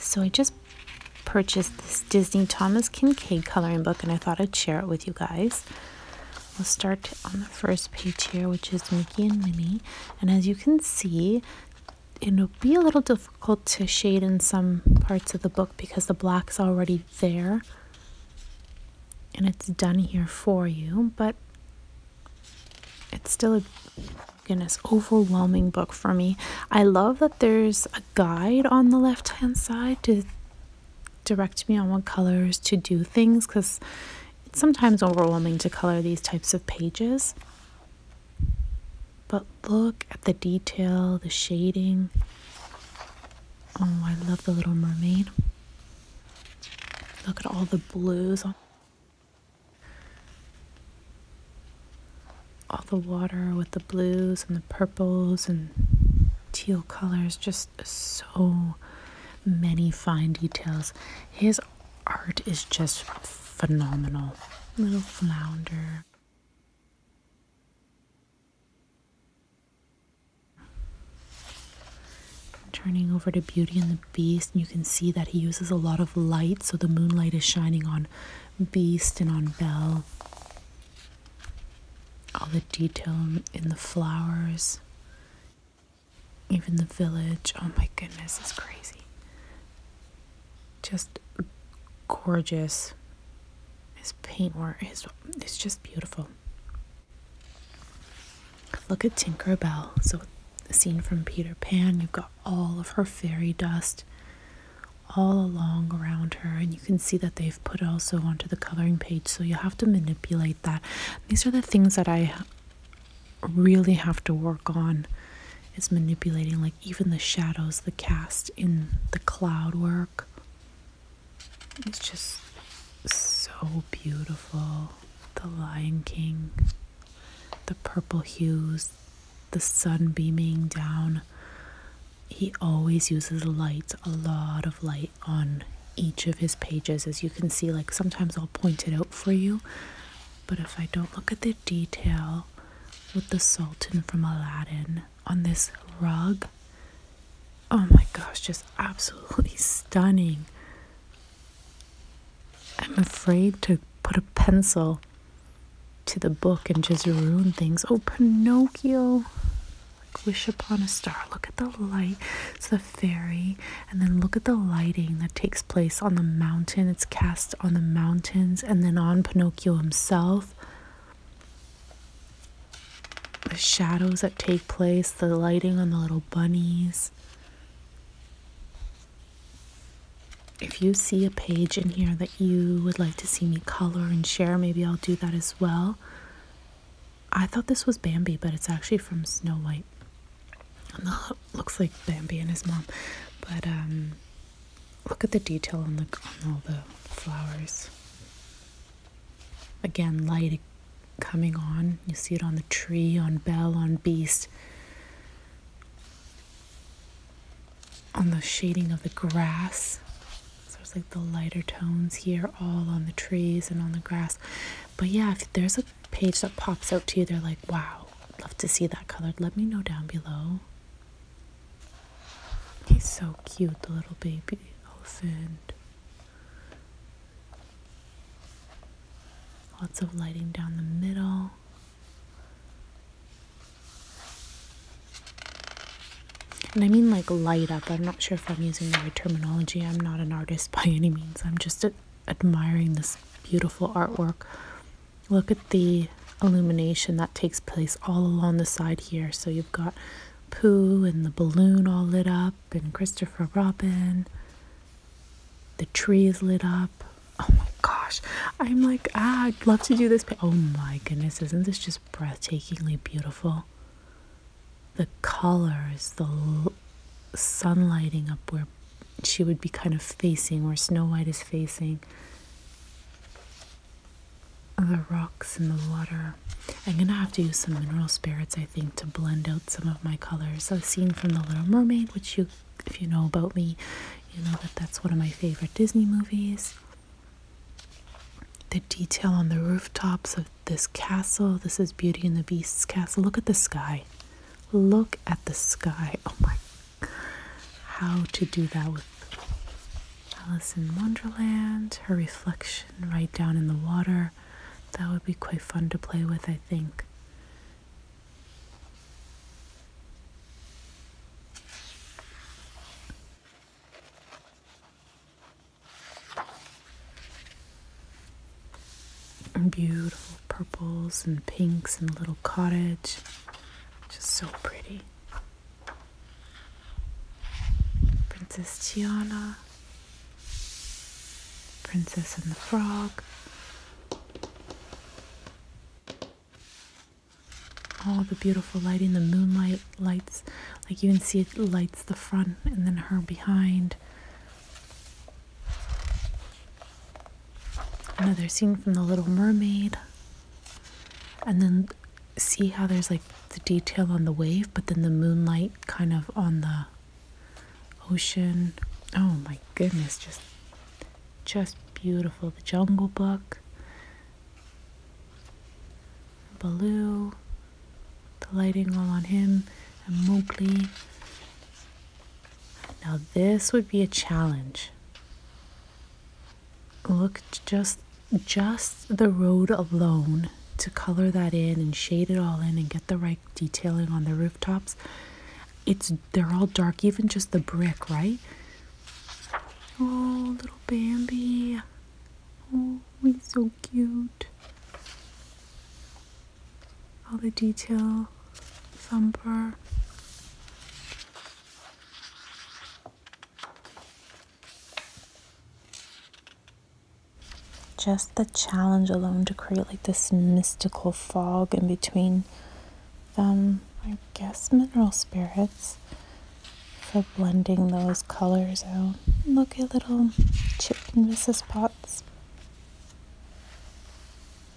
So I just purchased this Disney Thomas Kincaid coloring book and I thought I'd share it with you guys. We'll start on the first page here, which is Mickey and Minnie. And as you can see, it'll be a little difficult to shade in some parts of the book because the black's already there. And it's done here for you, but it's still a goodness, overwhelming book for me. I love that there's a guide on the left hand side to direct me on what colors to do things because it's sometimes overwhelming to color these types of pages. But look at the detail, the shading. Oh, I love the Little Mermaid. Look at all the blues all the water with the blues and the purples and teal colors, just so many fine details. His art is just phenomenal. Little flounder. Turning over to Beauty and the Beast, and you can see that he uses a lot of light, so the moonlight is shining on Beast and on Belle. All the detail in the flowers, even the village. Oh my goodness, it's crazy. Just gorgeous. His paintwork is it's just beautiful. Look at Tinker Bell. So, scene from Peter Pan, you've got all of her fairy dust all along around her and you can see that they've put also onto the coloring page so you have to manipulate that these are the things that i really have to work on is manipulating like even the shadows the cast in the cloud work it's just so beautiful the lion king the purple hues the sun beaming down. He always uses light, a lot of light on each of his pages. As you can see, like sometimes I'll point it out for you, but if I don't look at the detail with the Sultan from Aladdin on this rug, oh my gosh, just absolutely stunning. I'm afraid to put a pencil to the book and just ruin things. Oh, Pinocchio. Like wish upon a star. Look at the light. It's the fairy. And then look at the lighting that takes place on the mountain. It's cast on the mountains and then on Pinocchio himself. The shadows that take place, the lighting on the little bunnies if you see a page in here that you would like to see me color and share, maybe I'll do that as well. I thought this was Bambi, but it's actually from Snow White. And looks like Bambi and his mom. But um, look at the detail on, the, on all the flowers. Again, light coming on. You see it on the tree, on Belle, on Beast on the shading of the grass. So it's like the lighter tones here, all on the trees and on the grass. But yeah, if there's a page that pops out to you, they're like, wow, I'd love to see that colored. Let me know down below. He's so cute, the little baby elephant. Lots of lighting down the middle. And I mean like light up. I'm not sure if I'm using the right terminology. I'm not an artist by any means. I'm just admiring this beautiful artwork. Look at the illumination that takes place all along the side here. So you've got Pooh and the balloon all lit up, and Christopher Robin. The trees lit up. Oh my gosh. I'm like, ah, I'd love to do this. Oh my goodness, isn't this just breathtakingly beautiful? The colors, the sun lighting up where she would be kind of facing, where Snow White is facing. The rocks and the water. I'm gonna have to use some mineral spirits, I think, to blend out some of my colors. So, a scene from The Little Mermaid, which you if you know about me, you know that that's one of my favorite Disney movies. The detail on the rooftops of this castle. This is Beauty and the Beast's castle. Look at the sky. Look at the sky. Oh my. How to do that with Alice in Wonderland. Her reflection right down in the water. That would be quite fun to play with, I think. Beautiful purples and pinks and little cottage. Just so pretty. Princess Tiana, Princess and the Frog all the beautiful lighting the moonlight lights like you can see it lights the front and then her behind another scene from the little mermaid and then see how there's like the detail on the wave but then the moonlight kind of on the ocean oh my goodness just just beautiful. The Jungle Book, Baloo, the lighting all on him, and Mowgli. Now, this would be a challenge. Look just just the road alone to color that in and shade it all in and get the right detailing on the rooftops it's they're all dark, even just the brick, right? Oh, little Bambi. Oh, he's so cute. All the detail, Thumper. Just the challenge alone to create like this mystical fog in between them, um, I guess, mineral spirits for blending those colors out. Look at little Chip and Mrs. Potts.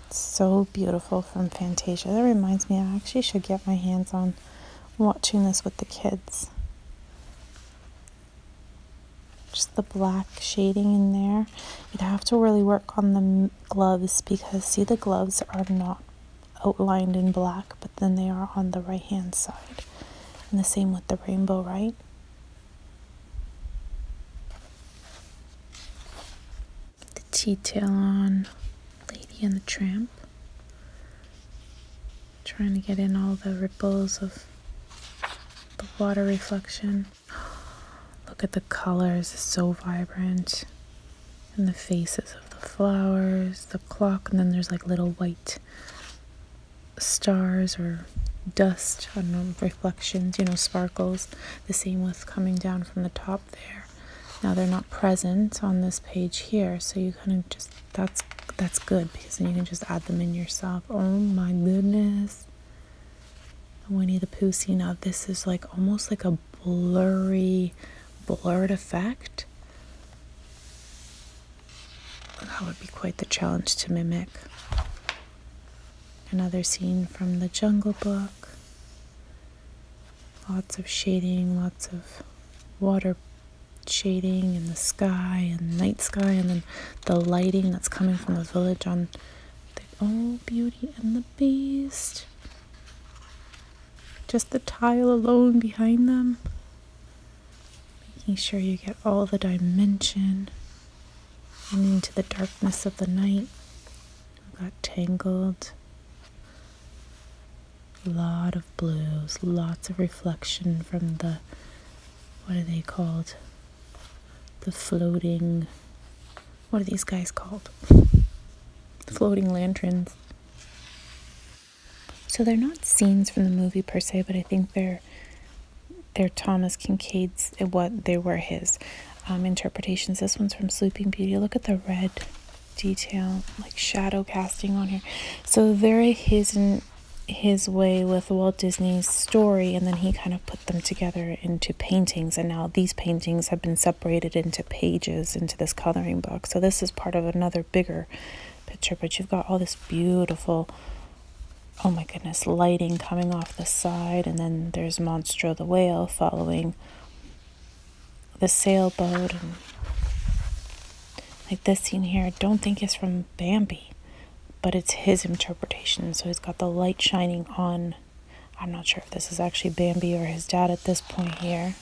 So beautiful from Fantasia. That reminds me, I actually should get my hands on watching this with the kids. Just the black shading in there. You'd have to really work on the gloves because see the gloves are not outlined in black but then they are on the right hand side and the same with the rainbow right the detail on lady and the tramp trying to get in all the ripples of the water reflection Look at the colors, so vibrant. And the faces of the flowers, the clock, and then there's like little white stars or dust, I don't know, reflections, you know, sparkles. The same with coming down from the top there. Now they're not present on this page here, so you kind of just, that's, that's good because then you can just add them in yourself. Oh my goodness. Winnie the Pooh scene of this is like almost like a blurry, blurred effect. That would be quite the challenge to mimic. Another scene from the Jungle Book. Lots of shading, lots of water shading in the sky and night sky, and then the lighting that's coming from the village on the oh, beauty and the beast. Just the tile alone behind them. Making sure you get all the dimension and into the darkness of the night. got tangled. A lot of blues, lots of reflection from the what are they called? The floating what are these guys called? Floating lanterns. So they're not scenes from the movie per se, but I think they're they're Thomas Kincaid's eh, what they were his um, interpretations. This one's from Sleeping Beauty. Look at the red detail, like shadow casting on here. So very his in his way with Walt Disney's story, and then he kind of put them together into paintings, and now these paintings have been separated into pages into this coloring book. So this is part of another bigger picture, but you've got all this beautiful, oh my goodness, lighting coming off the side, and then there's Monstro the whale following the sailboat, and like this scene here, I don't think is from Bambi, but it's his interpretation. So he's got the light shining on I'm not sure if this is actually Bambi or his dad at this point here.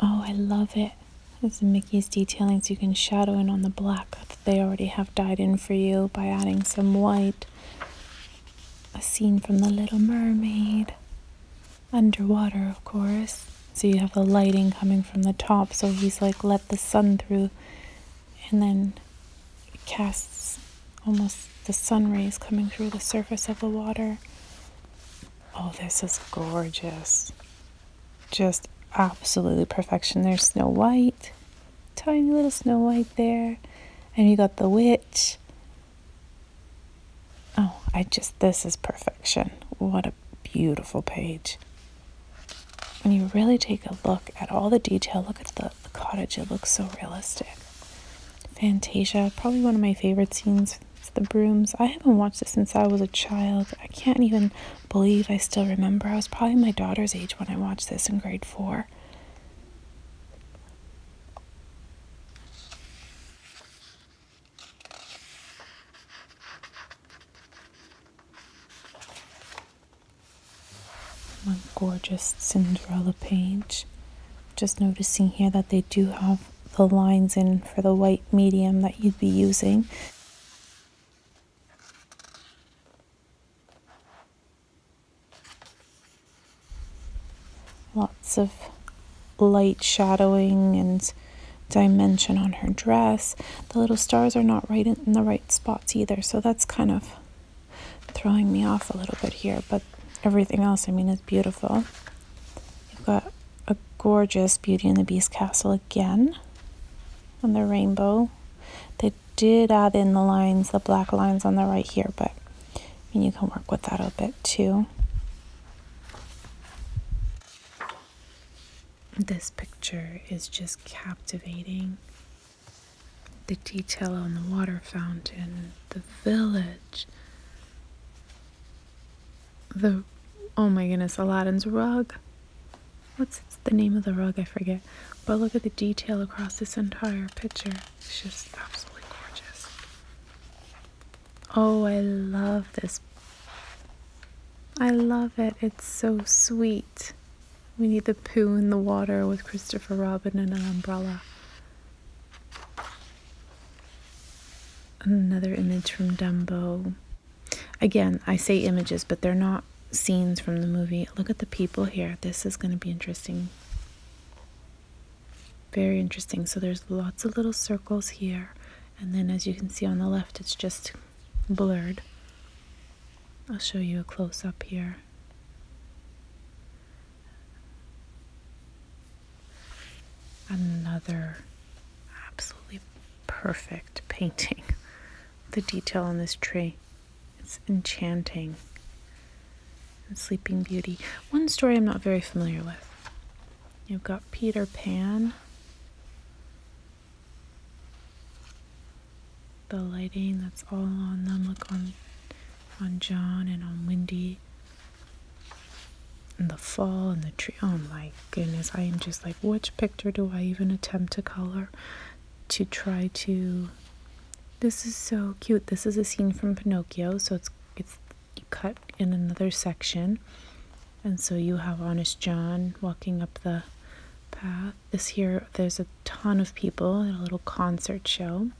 Oh, I love it. It's Mickey's detailing so you can shadow in on the black that they already have dyed in for you by adding some white. A scene from The Little Mermaid. Underwater, of course. So you have the lighting coming from the top, so he's like, let the sun through and then it casts almost the sun rays coming through the surface of the water. Oh, this is gorgeous. Just absolutely perfection. There's Snow White, tiny little Snow White there, and you got the witch. Oh, I just, this is perfection. What a beautiful page when you really take a look at all the detail, look at the, cottage, it looks so realistic. Fantasia, probably one of my favorite scenes the brooms. I haven't watched it since I was a child. I can't even believe I still remember. I was probably my daughter's age when I watched this in grade four. My gorgeous Cinderella page. Just noticing here that they do have the lines in for the white medium that you'd be using. Lots of light shadowing and dimension on her dress the little stars are not right in the right spots either. So that's kind of throwing me off a little bit here. But everything else, I mean, is beautiful. You've got a gorgeous Beauty and the Beast castle again and the rainbow. They did add in the lines, the black lines on the right here, but I mean, you can work with that a bit too. This picture is just captivating the detail on the water fountain, the village, the oh my goodness, Aladdin's rug. What's the name of the rug? I forget. But look at the detail across this entire picture. It's just absolutely gorgeous. Oh, I love this. I love it. It's so sweet. We need the poo in the water with Christopher Robin and an umbrella. Another image from Dumbo. Again, I say images, but they're not scenes from the movie. Look at the people here. This is going to be interesting. Very interesting. So there's lots of little circles here. And then as you can see on the left, it's just blurred. I'll show you a close up here. Another absolutely perfect painting. The detail on this tree, it's enchanting. Sleeping Beauty. One story I'm not very familiar with. You've got Peter Pan the lighting that's all on them. Look on on John and on Wendy. And the fall and the tree. Oh my goodness, I am just like, which picture do I even attempt to color to try to this is so cute. This is a scene from Pinocchio, so it's it's cut in another section. And so you have Honest John walking up the path this year there's a ton of people at a little concert show,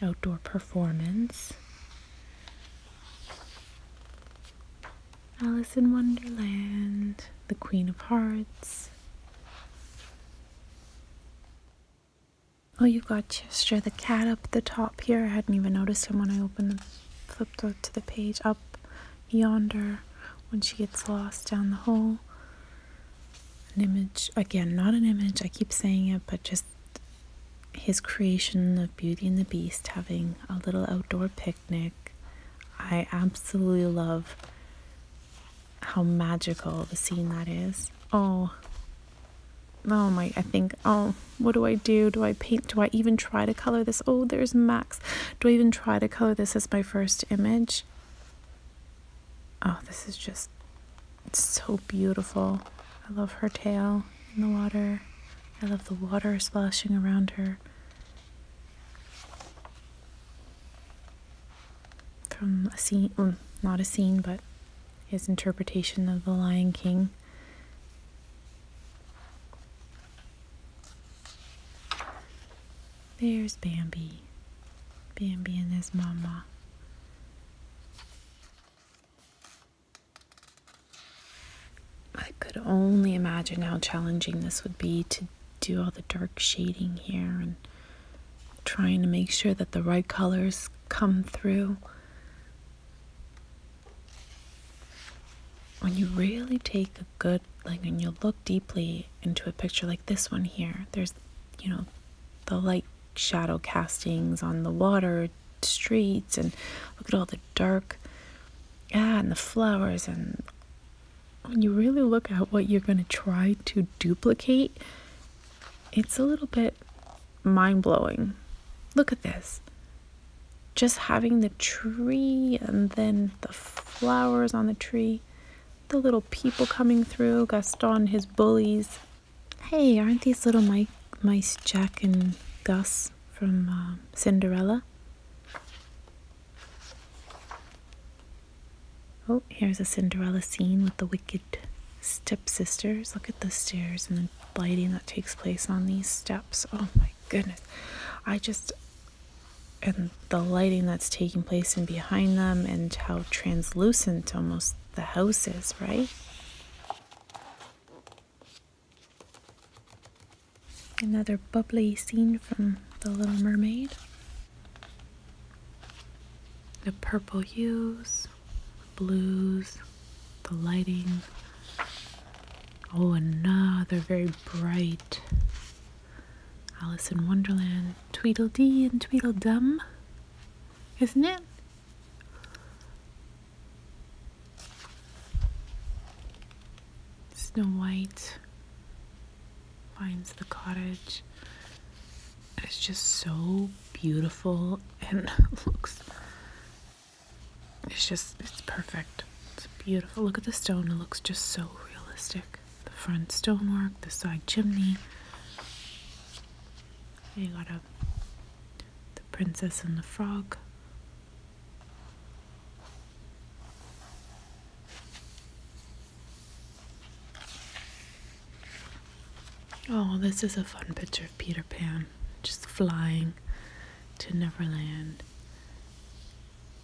outdoor performance. Alice in Wonderland, The Queen of Hearts. Oh, you've got Chester the cat up the top here. I hadn't even noticed him when I opened, flipped to the page up yonder when she gets lost down the hole. An image, again, not an image, I keep saying it, but just his creation of Beauty and the Beast having a little outdoor picnic. I absolutely love how magical the scene that is. Oh, oh my, I think, oh, what do I do? Do I paint? Do I even try to color this? Oh, there's Max. Do I even try to color this as my first image? Oh, this is just so beautiful. I love her tail in the water. I love the water splashing around her. From a scene, not a scene, but his interpretation of The Lion King. There's Bambi. Bambi and his mama. I could only imagine how challenging this would be to do all the dark shading here and trying to make sure that the right colors come through when you really take a good like when you look deeply into a picture like this one here there's you know the light shadow castings on the water streets and look at all the dark ah, and the flowers and when you really look at what you're going to try to duplicate it's a little bit mind-blowing look at this just having the tree and then the flowers on the tree the little people coming through, Gaston, his bullies. Hey, aren't these little mice Jack and Gus from uh, Cinderella? Oh, here's a Cinderella scene with the wicked stepsisters. Look at the stairs and the lighting that takes place on these steps. Oh my goodness. I just and the lighting that's taking place in behind them and how translucent almost the house is, right? Another bubbly scene from The Little Mermaid. The purple hues, the blues, the lighting. Oh, another very bright Alice in Wonderland, Tweedledee and Tweedledum, isn't it? Snow White finds the cottage. It's just so beautiful and looks. It's just, it's perfect. It's beautiful. Look at the stone, it looks just so realistic the front stonework, the side chimney. You got a the princess and the frog. Oh, this is a fun picture of Peter Pan just flying to Neverland.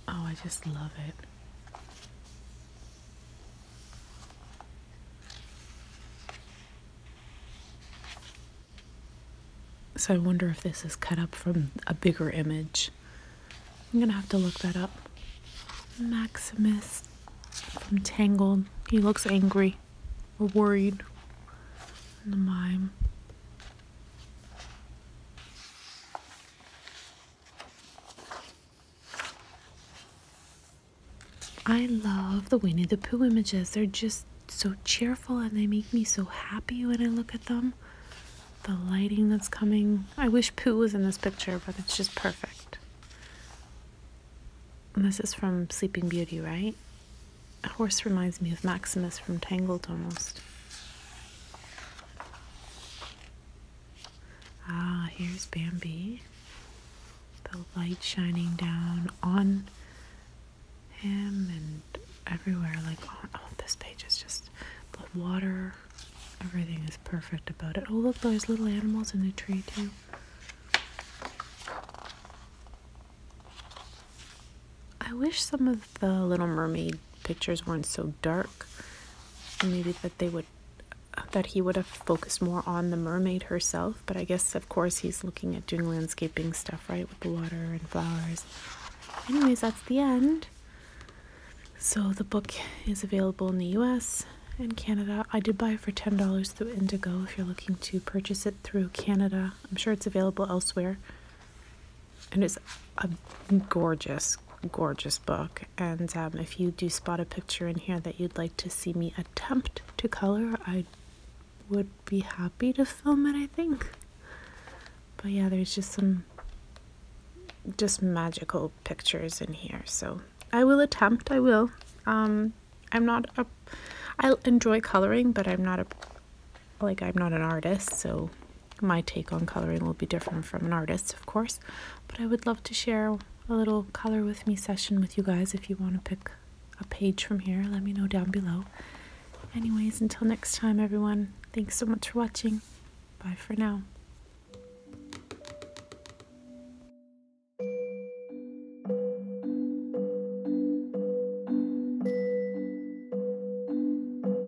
Oh, I just love it. So I wonder if this is cut up from a bigger image. I'm gonna have to look that up. Maximus from Tangled. He looks angry or worried. the mime. I love the Winnie the Pooh images. They're just so cheerful and they make me so happy when I look at them. The lighting that's coming. I wish Pooh was in this picture, but it's just perfect. this is from Sleeping Beauty, right? A horse reminds me of Maximus from Tangled almost. Ah, here's Bambi. The light shining down on him and everywhere. Like, oh, oh, this page is just the water. Everything is perfect about it. Oh, look, those little animals in the tree, too. I wish some of the Little Mermaid pictures weren't so dark. Maybe that they would that he would have focused more on the mermaid herself, but I guess of course he's looking at doing landscaping stuff, right, with the water and flowers. Anyways, that's the end. So the book is available in the US and Canada. I did buy it for $10 through Indigo if you're looking to purchase it through Canada. I'm sure it's available elsewhere it's a gorgeous gorgeous book and um, if you do spot a picture in here that you'd like to see me attempt to color i would be happy to film it i think but yeah there's just some just magical pictures in here so i will attempt i will um, i enjoy coloring but i'm not a like i'm not an artist so my take on coloring will be different from an artist's, of course, but I would love to share a little color with me session with you guys if you want to pick a page from here. Let me know down below. Anyways, until next time, everyone, thanks so much for watching. Bye for now.